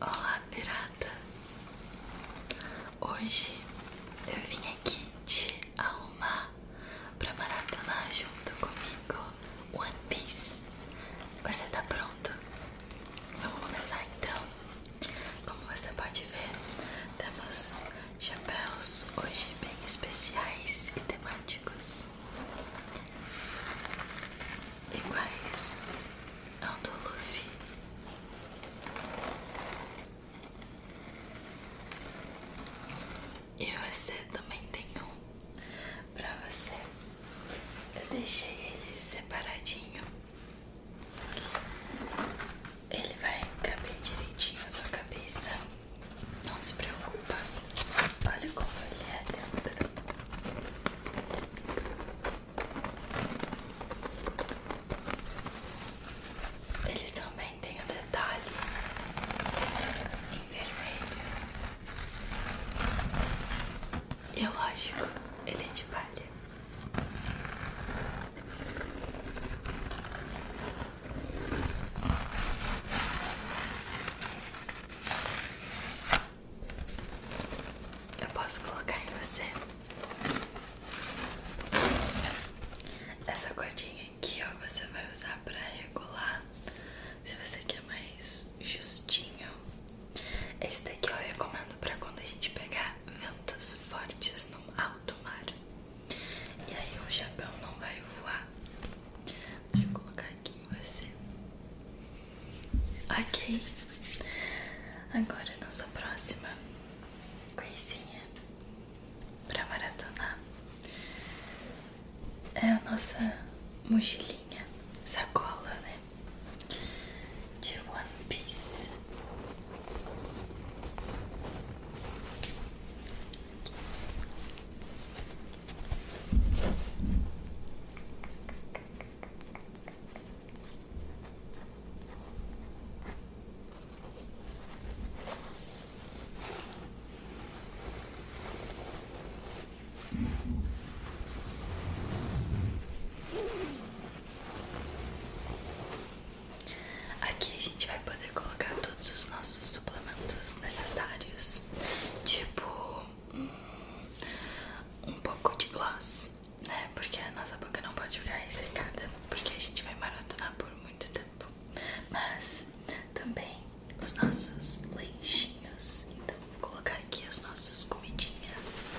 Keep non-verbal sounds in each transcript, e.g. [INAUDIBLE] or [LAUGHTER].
Olá, pirata! Hoje eu vim aqui te arrumar para pra maratonar junto comigo One Piece. Você tá pronto? Vamos começar então. Como você pode ver, temos chapéus hoje bem especiais e temáticos. Iguais ao do Luffy. E você também tem um pra você. Eu deixei ele separadinho. Ele vai caber direitinho na sua cabeça. Não se preocupa. Olha como ele é dentro. Ele também tem o detalhe em vermelho. E é lógico, ele é de palha. Eu posso colocar em você essa cordinha esse aqui ó, você vai usar para regular se você quer mais justinho. Esse daqui eu recomendo para quando a gente pegar ventos fortes no alto mar. E aí o chapéu não vai voar. Deixa eu colocar aqui em você. Ok. Agora nossa próxima coisinha para maratonar é a nossa mochilinha, sacola, né? De One Piece. Aqui a gente vai poder colocar todos os nossos suplementos necessários, tipo hum, um, pouco de gloss, né? Porque a nossa boca não pode ficar ressecada, porque a gente vai maratonar por muito muito tempo. Mas também os nossos lanchinhos. Então vou colocar aqui as nossas comidinhas.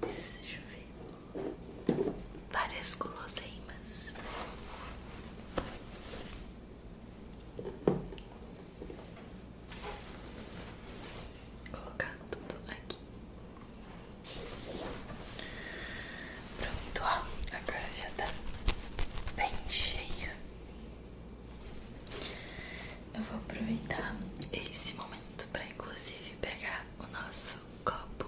Mas deixa eu ver várias guloseimas. Vou colocar tudo aqui. Pronto, ó. Agora já tá bem cheia Eu vou aproveitar esse momento para inclusive pegar o nosso copo.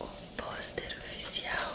O pôster oficial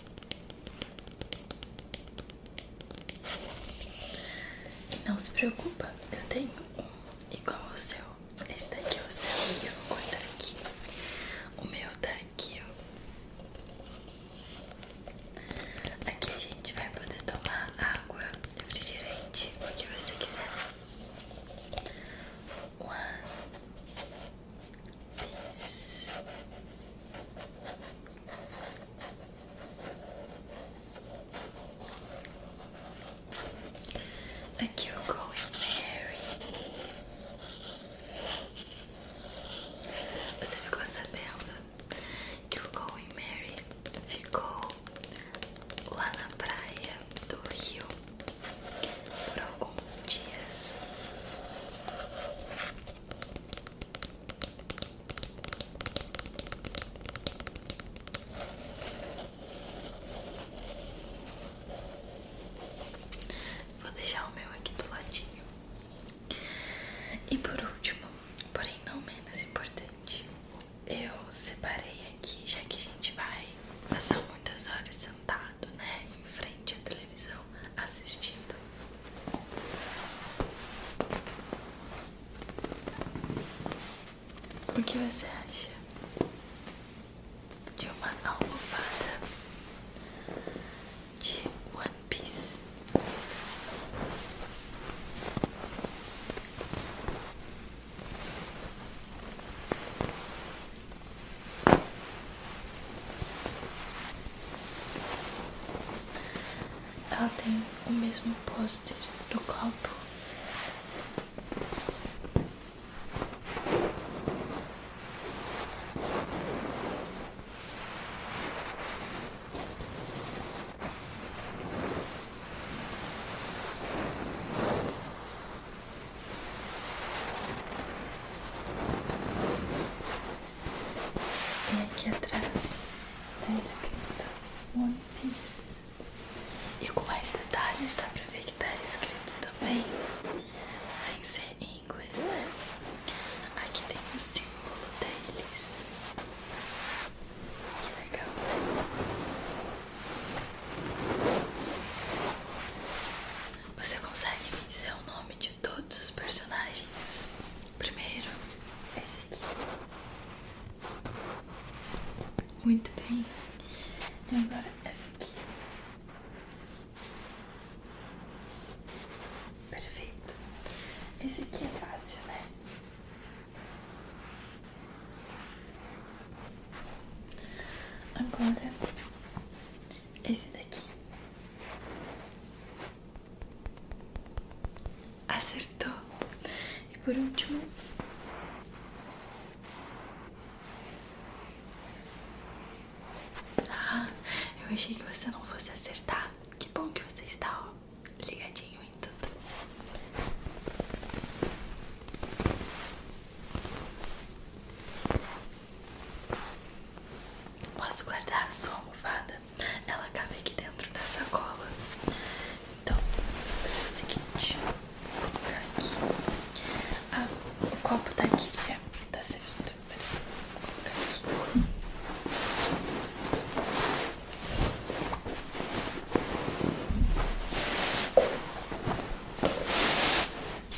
Não se preocupa, eu tenho um igual ao seu. Esse daqui é o seu e eu vou guardar aqui. O meu tá aqui, ó. Aqui a gente vai poder tomar água, refrigerante, o que você quiser. One, fiz aqui o Going Mary. Você ficou sabendo que o Going Mary ficou lá na praia do Rio por alguns dias. Vou deixar o meu aqui do ladinho. E por último, porém não menos importante, eu separei aqui, já que a gente vai passar muitas horas sentado, né, em frente à televisão assistindo. O que você acha de uma almofada de One Piece? Ela tem o mesmo pôster do copo. E aqui atrás está escrito One Piece. E com mais detalhes dá pra ver que está escrito também, sem ser em inglês, né? Aqui tem o símbolo deles. Que legal. Né? Você consegue me dizer o nome de? de todos os personagens. Primeiro, esse aqui. Muito bem. E agora esse aqui. Perfeito. Esse aqui é fácil, né? Agora, esse daqui. Acertou. E por último. Ah, eu achei que você não fosse acertar. Que bom que você está, ligadinho em tudo. Posso guardar a sua almofada? Ela cabe aqui dentro da sacola. Então, vou fazer o seguinte: vou colocar aqui. Ah, o copo tá aqui, já né? tá servindo. Peraí, vou colocar aqui. [LAUGHS]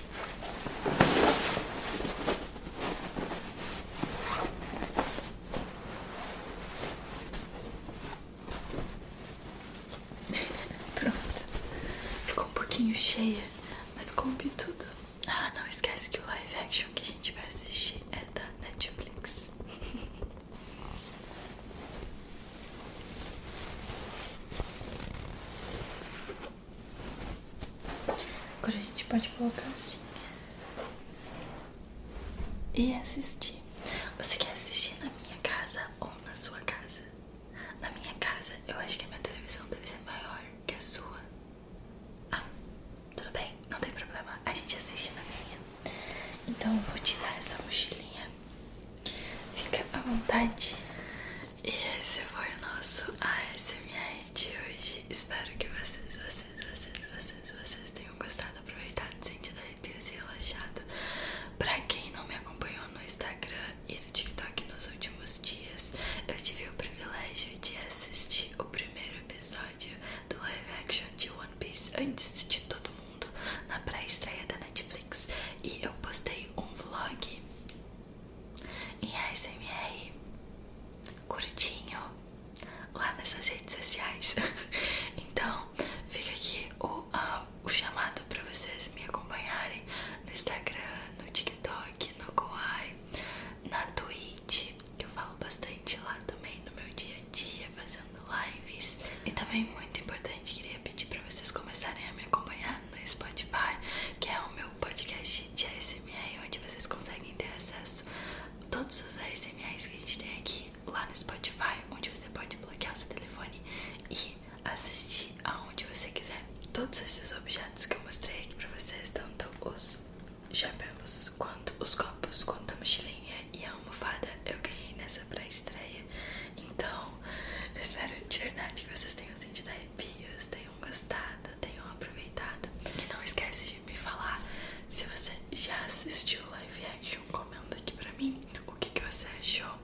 Pronto. Ficou um pouquinho cheia, mas coube tudo. Ah, não esquece que o live action que a gente vai assistir é da Netflix. [LAUGHS] Agora a gente pode colocar assim e assistir. Você quer assistir na minha casa ou na sua casa? Na minha casa, eu acho que a minha televisão deve ser maior que a sua. Ah, tudo bem, não tem problema. A gente assiste na minha. Então eu vou tirar essa mochilinha. Fica à vontade e esse foi o nosso ASMR de hoje. Espero que vocês, vocês, vocês, vocês, vocês tenham gostado, aproveitado, sentido arrepios e relaxado. Pra quem não me acompanhou no Instagram e no TikTok nos últimos dias, eu tive o privilégio de assistir o primeiro episódio do live action de One Piece antes de todo mundo na pré-estreia da Netflix. E eu postei um vlog em ASMR curtinho lá nessas redes sociais. [LAUGHS] então fica aqui o, ah, o chamado para vocês me acompanharem no Instagram, no TikTok, no Kawaii, na Twitch, que eu falo bastante lá também no meu dia a dia, fazendo lives. E também muito importante, queria pedir para vocês começarem a me acompanhar no Spotify, que é o meu podcast de ASMR, onde vocês conseguem ter acesso a todos os ASMRs que a gente tem aqui lá no Spotify, onde você pode bloquear o seu telefone e assistir aonde você quiser. Todos esses objetos que eu mostrei aqui pra vocês, tanto os chapéus, quanto os copos, quanto a mochilinha e a almofada, eu ganhei nessa pré-estreia. Então, eu espero de verdade que vocês tenham sentido aí tenham gostado, tenham aproveitado. E não esquece de me falar se você já assistiu live action, comenta aqui pra mim o que, que você achou.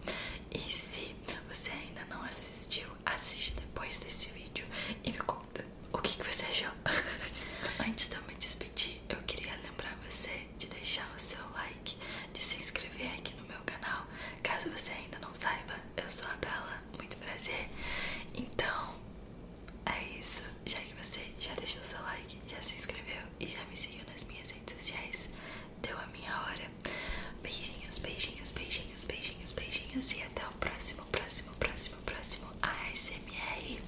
E se você ainda não assistiu, assiste depois desse vídeo e me conta o que, que você achou. [LAUGHS] Antes de eu me despedir, eu queria lembrar você de deixar o seu like, de se inscrever aqui no meu canal. Caso você ainda não saiba, eu sou a Bela muito prazer. Então, é isso. Já que você já deixou seu like, já se inscreveu e já me seguiu nas minhas redes sociais, deu a minha hora. Beijinhos, beijinhos, beijinhos, beijinhos, beijinhos e até o próximo, próximo, próximo, próximo ASMR.